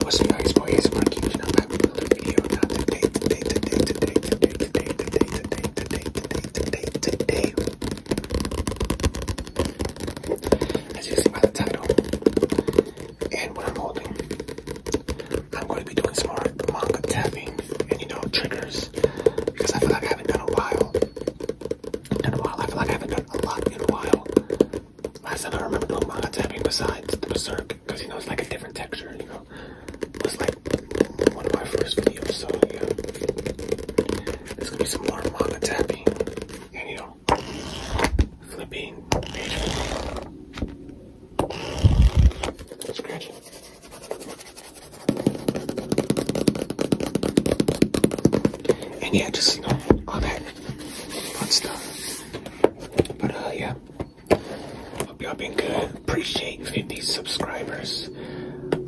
What's nice for his work, you know, I will review now today, today, today, today, today, today, today, today, today, today, today, today. As you see by the title and what I'm holding, I'm going to be doing some more manga tapping and, you know, triggers because I feel like I haven't done a while. Done a while. I feel like I haven't done a lot in a while. Last time I remember doing manga tapping besides the Berserk, because you know it's like a different texture, you know. It was like one of my first videos, so yeah. There's gonna be some more manga tapping and you know flipping Scratching. And yeah, just you know, all that fun stuff. But uh, yeah, hope y'all been good. Appreciate 50 subscribers.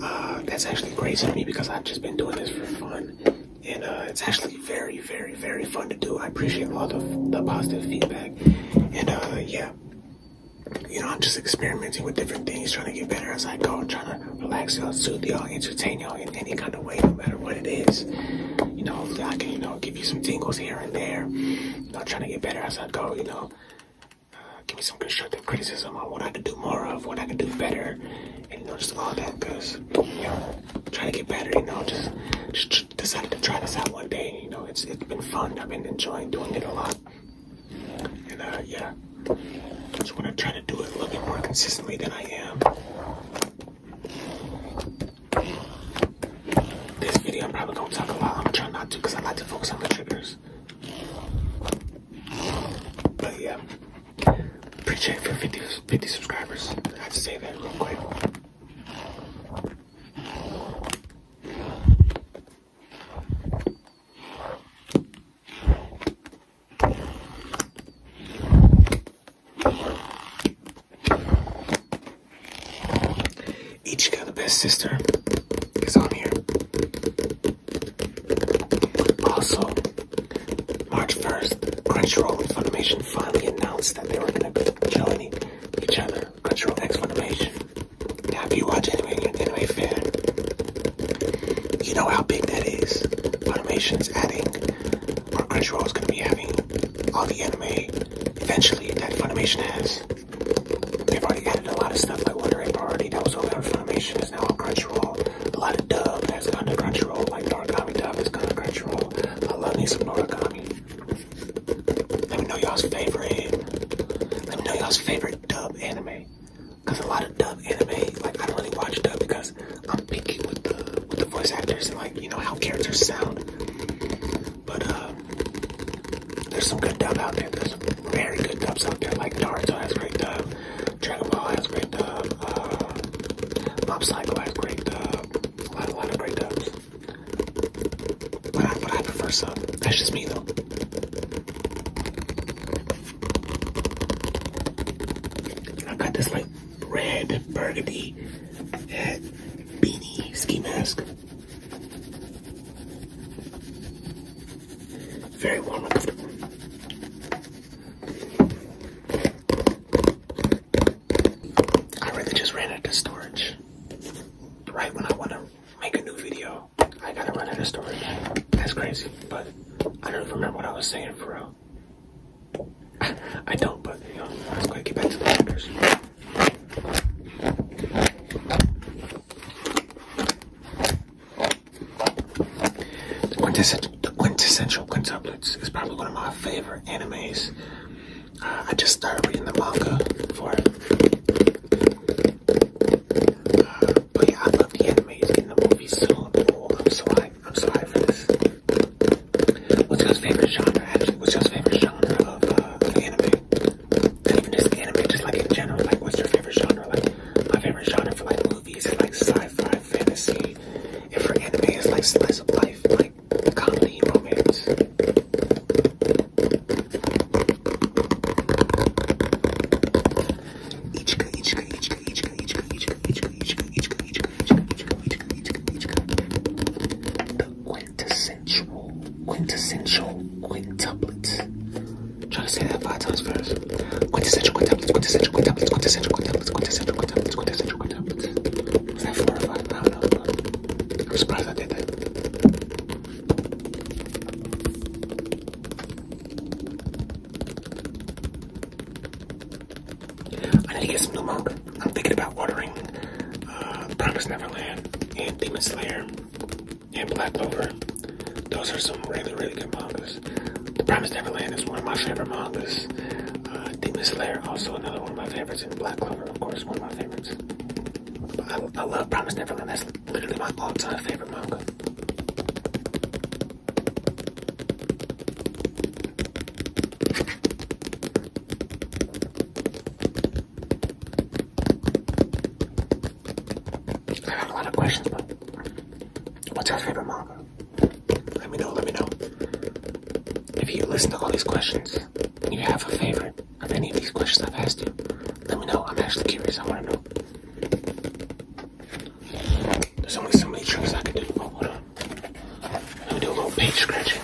Uh, that's actually crazy to me because I've just been doing this for fun, and uh, it's actually very, very, very fun to do. I appreciate all the the positive feedback, and uh, yeah. You know, I'm just experimenting with different things, trying to get better as I go, trying to relax y'all, soothe y'all, entertain y'all, in any kind of way, no matter what it is. You know, I can, you know, give you some tingles here and there. You know, trying to get better as I go, you know. Uh, give me some constructive criticism on what I could do more of, what I could do better, and you know, just all that, because, you know, trying to get better, you know, just, just decided to try this out one day, you know, it's, it's been fun, I've been enjoying doing it a lot, and, uh, yeah, just want to try to do it a little bit more consistently than I am, this video, I'm probably gonna talk a lot. I'm trying not to because I like to focus on the triggers. But yeah, appreciate for 50, 50 subscribers. I have to say that real quick. Ichika, the best sister, is on here. Also, March 1st, Crunchyroll and Funimation finally announced that they were going to be joining each other. Crunchyroll X Funimation. Now, if you watch anime, you're an anime fan. You know how big that is. Animations adding, or Crunchyroll is going to be having all the anime eventually that Funimation has. They've already added a lot of stuff I Wonder Egg already that was over on Funimation is now on Crunchyroll. A lot of dub that's gone to Crunchyroll, like Noragami dub is gone to Crunchyroll. I love me some Noragami. Let me know y'all's favorite. Let me know y'all's favorite dub anime. Cause a lot of dub anime, like I don't really watch dub because I'm picky with the with the voice actors and like you know how characters sound. But uh, there's some good dub out there. There's some very good dubs out there. Like Naruto has great dub, Dragon Ball has great dub, uh, Mob Psycho has great dub. A lot, a lot of great dubs. But I, but I prefer sub. That's just me though. I got this like red burgundy hat, beanie ski mask. Very warm comfortable. I really just ran out storage right when I want to make a new video. I gotta run out of storage. That's crazy, but I don't remember what I was saying for real. I don't, but you know, let's go get back to the lockers. The quintessential, quintessential quintuplets is probably one of my favorite animes. Uh, I just started reading the manga for it. Uh, yeah, I love the animes in the movies so cool. I'm sorry, I'm sorry for this. What's your favorite genre? Actually, what's your favorite genre of, uh, anime? Not even just anime, just like in general. Like, what's your favorite genre? Like, my favorite genre for like movies is like sci-fi, fantasy, and for anime, it's like slice of life, like comedy, romance. The quintessential, quintessential quintuplet. Try to say that five times first. Quintessential quintuplet, quintessential quintuplet, quintessential quintuplet, quintessential quintuplet, quintessential quintuplet. Was that four or five? I don't surprised I did I need to get some new manga. I'm thinking about ordering uh, Promise Neverland and Demon Slayer and Black Clover. Those are some really, really good mangas. The Promise Neverland is one of my favorite mangas. Uh, Demon Slayer, also another one of my favorites, and Black Clover, of course, one of my favorites. I, love Promise Neverland. That's literally my all-time favorite manga. I have a lot of questions, what's your favorite manga? Let me know, let me know. If you listen to all these questions, you have a favorite of any of these questions I've asked you, let me know. I'm actually curious. I want to know. There's only so many tricks I can do. Oh, hold on. Let me do a little page scratching.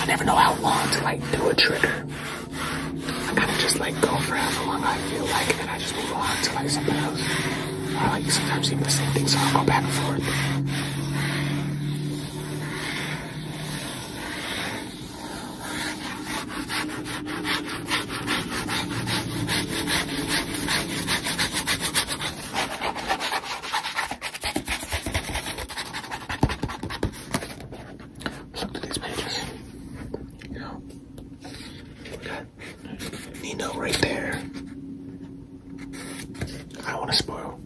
I never know how long to like do a trigger. I kind of just like go for however long I feel like, and I just move on to like something else. I like sometimes even the same thing, so I'll go back and forth. Look at these pages. You know, we got Nino right there. I don't want to spoil.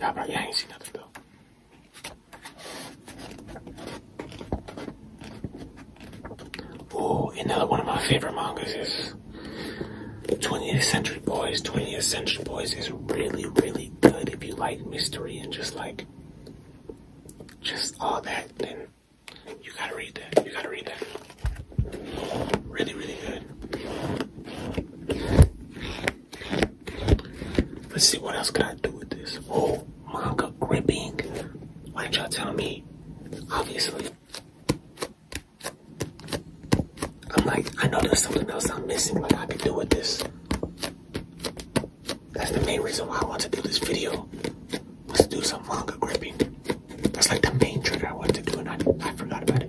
Y'all I ain't seen nothing though. Oh, another one of my favorite mangas is 20th Century Boys. 20th Century Boys is really, really good if you like mystery and just like just all that. Then you gotta read that. You gotta read that. Really, really good. Let's see what else can I do with this. Oh, manga gripping. Why didn't y'all tell me? Obviously. I'm like, I know there's something else I'm missing, like I can do with this. That's the main reason why I want to do this video. Was to do some manga gripping. That's like the main trigger I want to do and I, I forgot about it.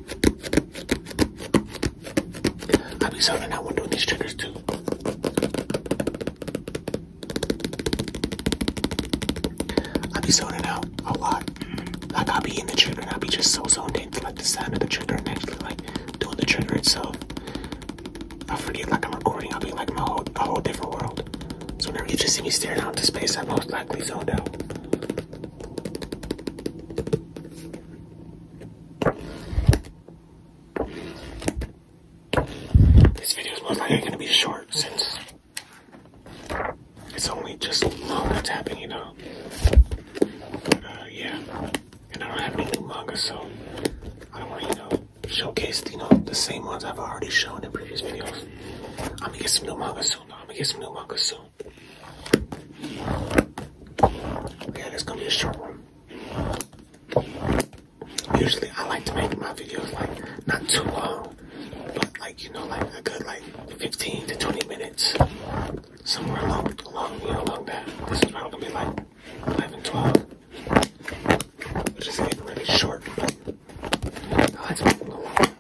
I'll be selling that one doing these triggers too. I be zoning out a lot. Like I'll be in the trigger and I'll be just so zoned into like the sound of the trigger and actually like doing the trigger itself. I forget like I'm recording, I'll be like my whole a whole different world. So whenever you just see me staring out into space, I'm most likely zoned out. This video is most likely going to be short since it's only just manga tapping, you know. Uh, yeah, and I don't have any new so I don't want you know, showcase, you know, the same ones I've already shown in previous videos. I'm gonna get some new manga soon. I'm gonna get some new markers soon. Yeah, that's gonna be a short one. Usually I like to make my videos like not too long, but like you know like a good like 15 to 20 minutes. Somewhere along along you know along that. This is probably gonna be like 11, 12. Which is getting really short, but I like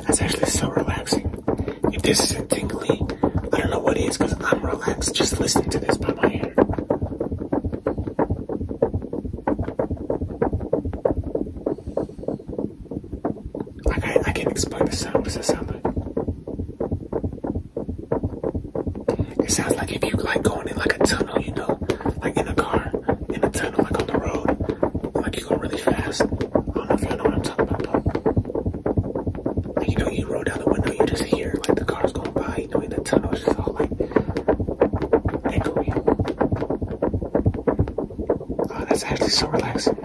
That's actually so relaxing. If this isn't tingly, I don't know what it is, because I'm relaxed just listening to this by my ear. I, can't explain the sound. Does that sound it sounds like if you like going in like a tunnel, you know, like in a car, in a tunnel, like on the road, like you go really fast. I don't know if you know what I'm talking about. Like you know, you roll down the window, you just hear like the cars going by. You know, the tunnels, just all like echoey. Oh, that's actually so relaxing.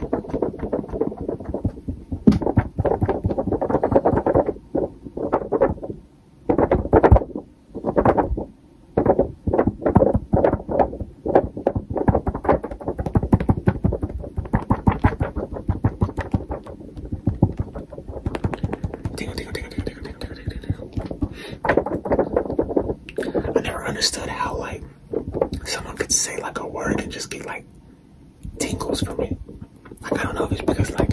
I never understood how like someone could say like a word and just get like tingles from me. Like I don't know if it's because like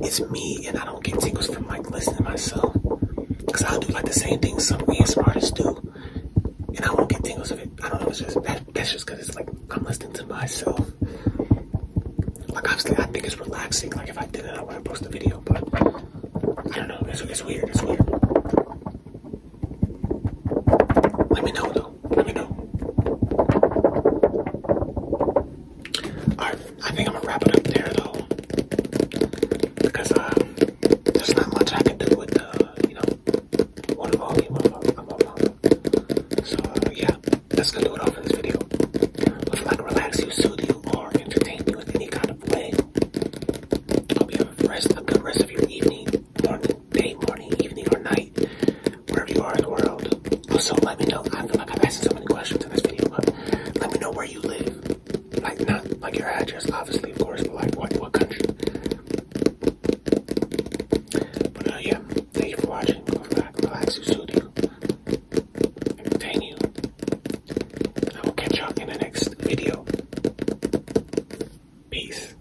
it's me and I don't get tingles from like listening to myself. Cause I'll do like the same things some ASMR artists do, and I won't get tingles of it. I don't know. It's just that's just cause it's like I'm listening to myself. Like obviously I think it's relaxing. Like if I did it, I wouldn't post a video. But I don't know. It's, it's weird. It's weird. Let me know though. Let me know. Alright, I think I'm gonna wrap it up there though. Because um, there's not much I can do with the, you know, water volume of my mom. So uh, yeah, that's gonna do it for this video. If you like relax you, soothe you, or entertain you in any kind of way, I you a, rest, a rest of your evening, day, morning, evening, or night, wherever you are in the world. Also, let me know. I feel like i am asking so many questions in this video, but let me know where you live. Like, not like your address, obviously, of course, but like what, what country. But uh, yeah, thank you for watching. Relax, relax, you soothe you, entertain you. I will catch y'all in the next video. Peace.